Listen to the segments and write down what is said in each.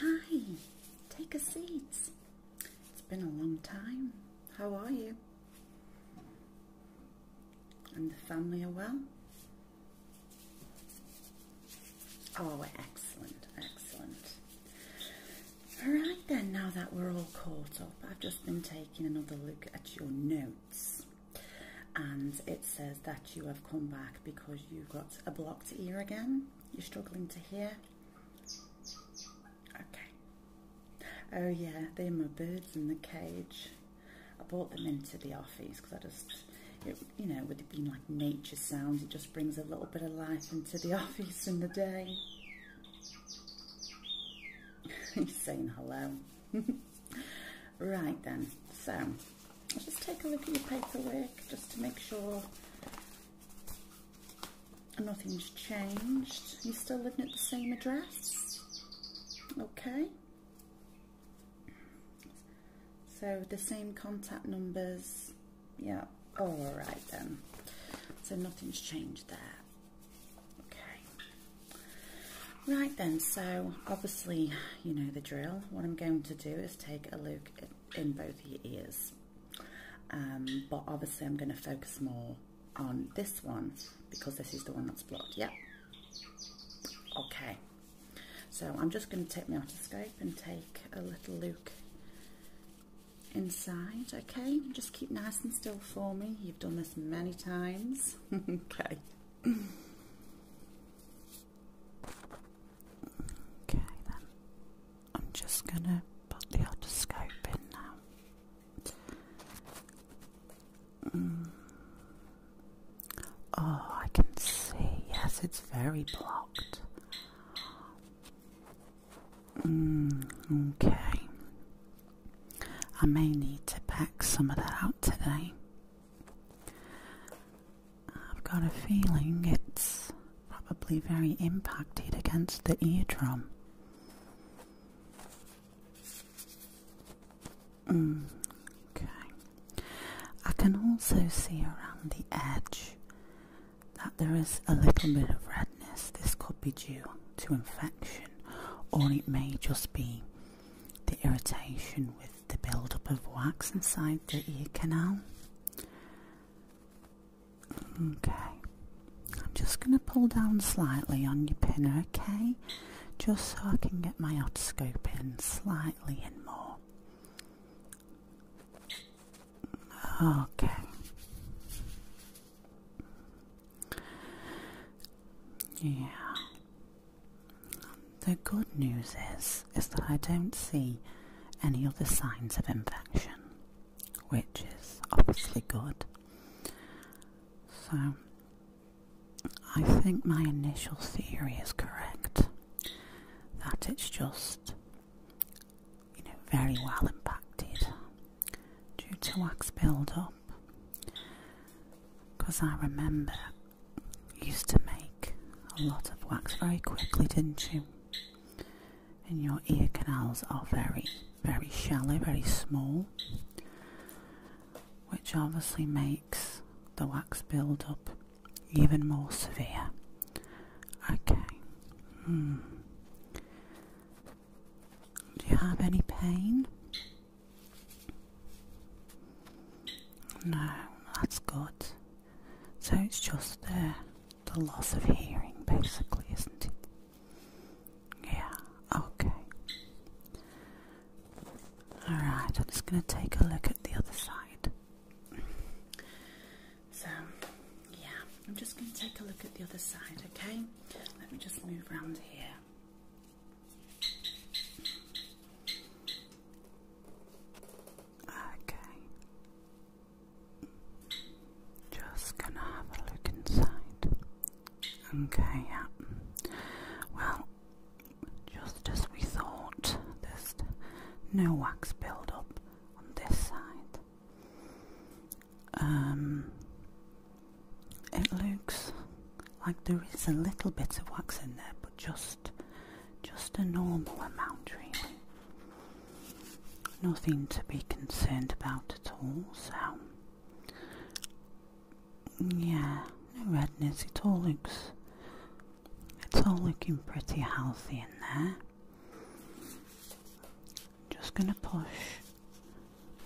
Hi, take a seat. It's been a long time. How are you? And the family are well? Oh, excellent, excellent. Alright then, now that we're all caught up, I've just been taking another look at your notes. And it says that you have come back because you've got a blocked ear again. You're struggling to hear? Okay. Oh yeah, there are my birds in the cage. I brought them into the office because I just, you know, with it being like nature sounds, it just brings a little bit of life into the office in the day. He's saying hello. right then, so just take a look at your paperwork just to make sure nothing's changed. You're still living at the same address? Okay. So the same contact numbers. Yeah. Oh, all right then. So nothing's changed there. Right then, so obviously you know the drill. What I'm going to do is take a look at in both your ears. Um, but obviously I'm going to focus more on this one because this is the one that's blocked. Yep. Okay. So I'm just going to take my otoscope and take a little look inside. Okay. Just keep nice and still for me. You've done this many times. okay. Okay, then I'm just gonna put the otoscope in now. Mm. Oh, I can see. Yes, it's very blocked. Mm, okay. I may need to pack some of that out today. I've got a feeling it's probably very impacted against the eardrum. Mm, okay. I can also see around the edge that there is a little bit of redness. This could be due to infection, or it may just be the irritation with the buildup of wax inside the ear canal. Okay, I'm just going to pull down slightly on your pinner, okay? Just so I can get my otoscope in slightly and more. Okay. Yeah. The good news is, is that I don't see any other signs of infection, which is obviously good. So, I think my initial theory is correct that it's just, you know, very well impacted due to wax build-up. Because I remember you used to make a lot of wax very quickly, didn't you? and your ear canals are very, very shallow, very small, which obviously makes the wax build-up even more severe. Okay. Hmm. Do you have any pain? No, that's good. So it's just the, uh, the loss of hearing, basically, isn't it? Yeah, okay. Alright, I'm just going to take a look at the other side. So, yeah, I'm just going to take a look at the other side, okay? Let me just move around here. Okay. Just gonna have a look inside. Okay, yeah. Well, just as we thought, there's no wax build up on this side. Um, it looks like there is a little bit of wax in there, but just just a normal amount, really nothing to be concerned about at all. So, yeah, no redness. It all looks, it's all looking pretty healthy in there. Just going to push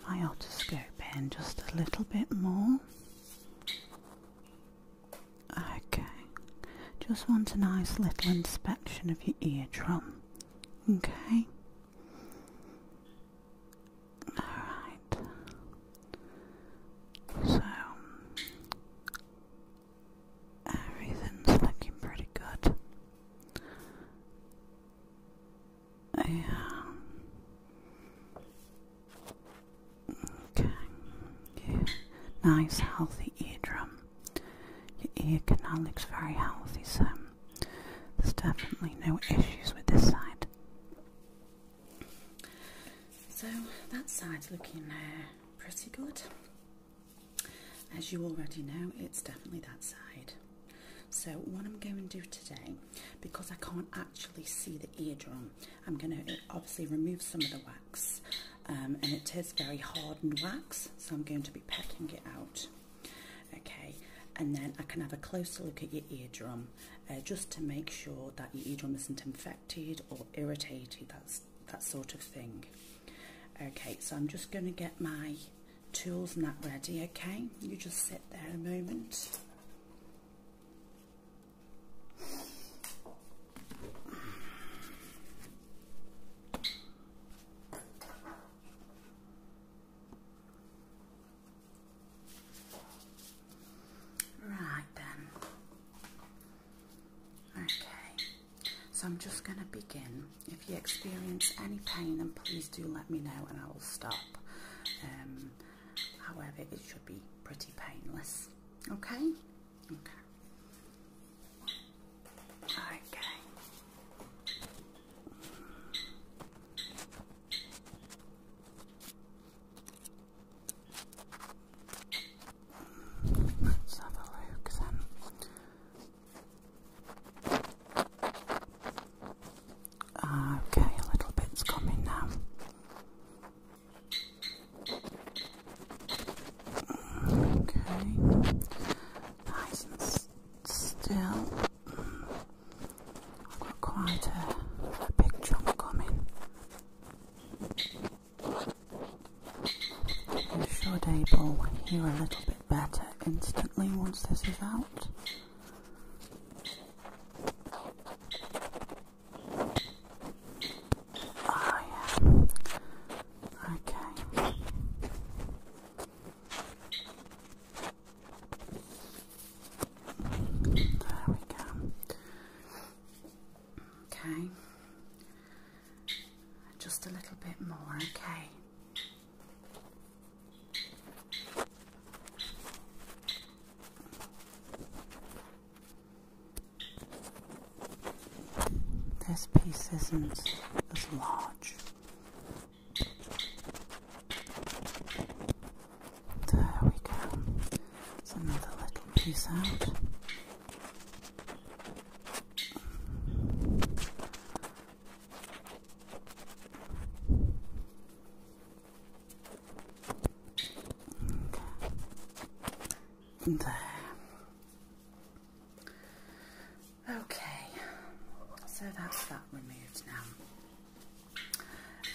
my otoscope in just a little bit more. Okay, just want a nice little inspection of your eardrum. Okay. Alright. So, everything's looking pretty good. Yeah. Okay. Yeah. Nice, healthy eardrum your ear canal looks very healthy, so there's definitely no issues with this side. So that side's looking uh, pretty good. As you already know, it's definitely that side. So what I'm going to do today, because I can't actually see the eardrum, I'm going to uh, obviously remove some of the wax um, and it is very hard and wax, so I'm going to be pecking it out. Okay, and then I can have a closer look at your eardrum uh, just to make sure that your eardrum isn't infected or irritated, that's, that sort of thing. Okay, so I'm just going to get my tools and that ready, okay? You just sit there a moment. Right then. Okay. So I'm just going to begin. If you experience any pain, then please do let me know and I will stop. Um, however, it should be pretty painless. Okay? Okay. Okay. Let's have a look then. Okay, a little bit's coming now. Okay. Nice and still. I've got quite a, big chunk coming. You should able hear a little bit better instantly once this is out. Oh, yeah. Okay. There we go. Okay. Just a little bit more, okay. This piece isn't as large. There we go. It's another little piece out. There. Okay, so that's that removed now.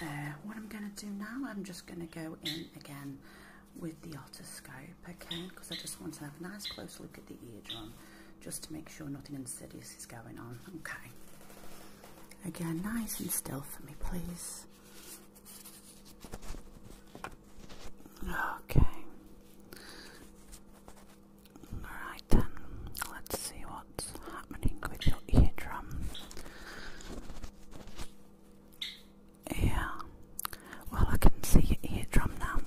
Uh, what I'm going to do now, I'm just going to go in again with the otoscope, okay? Because I just want to have a nice close look at the eardrum, just to make sure nothing insidious is going on, okay? Again, nice and still for me, please. Okay. Alright then, let's see what's happening with your eardrums. Yeah. Well, I can see your eardrum now.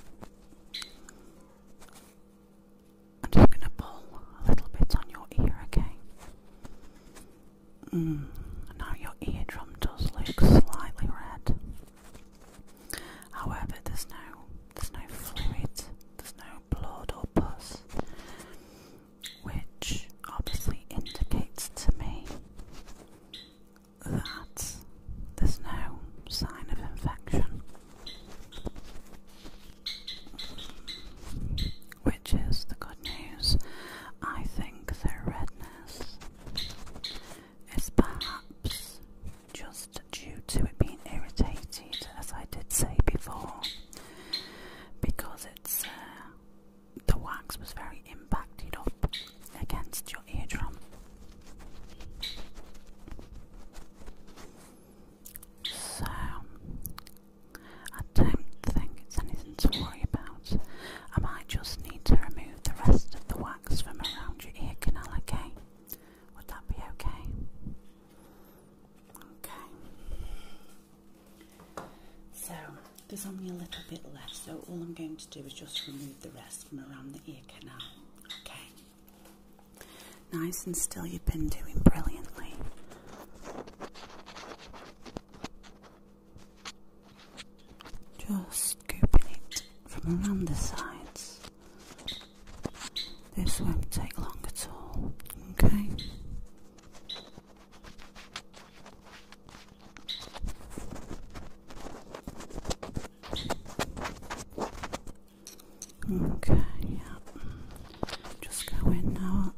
I'm just going to pull a little bit on your ear, okay? Mm. Now your eardrum does look slightly red. However, there's no there's no fluid, there's no blood or pus, which obviously indicates to me that there's no sign of infection, which is the good news. I think their redness it's perhaps just due to it being irritated, as I did say before, because it's uh, the wax was very impacted up against your eardrum. So, I don't think it's anything to worry about. I might just need to remove remove the rest of the wax from around your ear canal, okay? Would that be okay? Okay. So, there's only a little bit left, so all I'm going to do is just remove the rest from around the ear canal, okay? Nice and still, you've been doing brilliantly. Just scooping it from around the sides. This won't take long at all, okay? Okay, yeah. Just go in now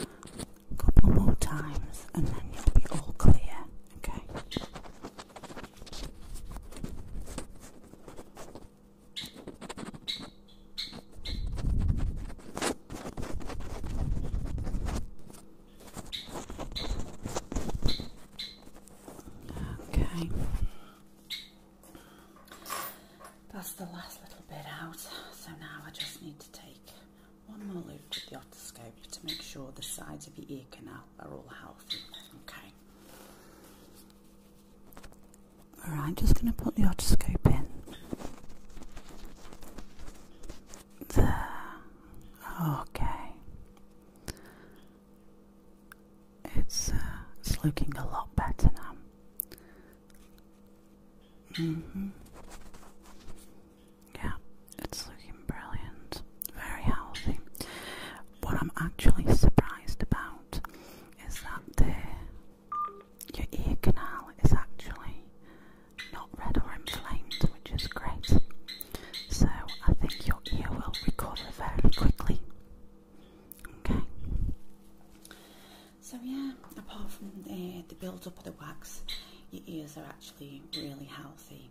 a couple more times and then you'll be all clear, okay? Okay. That's the last little bit out, so now I just need to take one more loop with the otoscope to make sure the sides of the ear canal are all healthy. Okay. Alright, just going to put the otoscope in. There. Okay. It's, uh, it's looking a lot better now. hmm yeah, it's looking brilliant. Very healthy. What I'm actually surprised about is that your ear canal is actually not red or inflamed, which is great. So I think your ear will recover very quickly. Okay. So yeah, apart from the build up of the wax, your ears are actually really healthy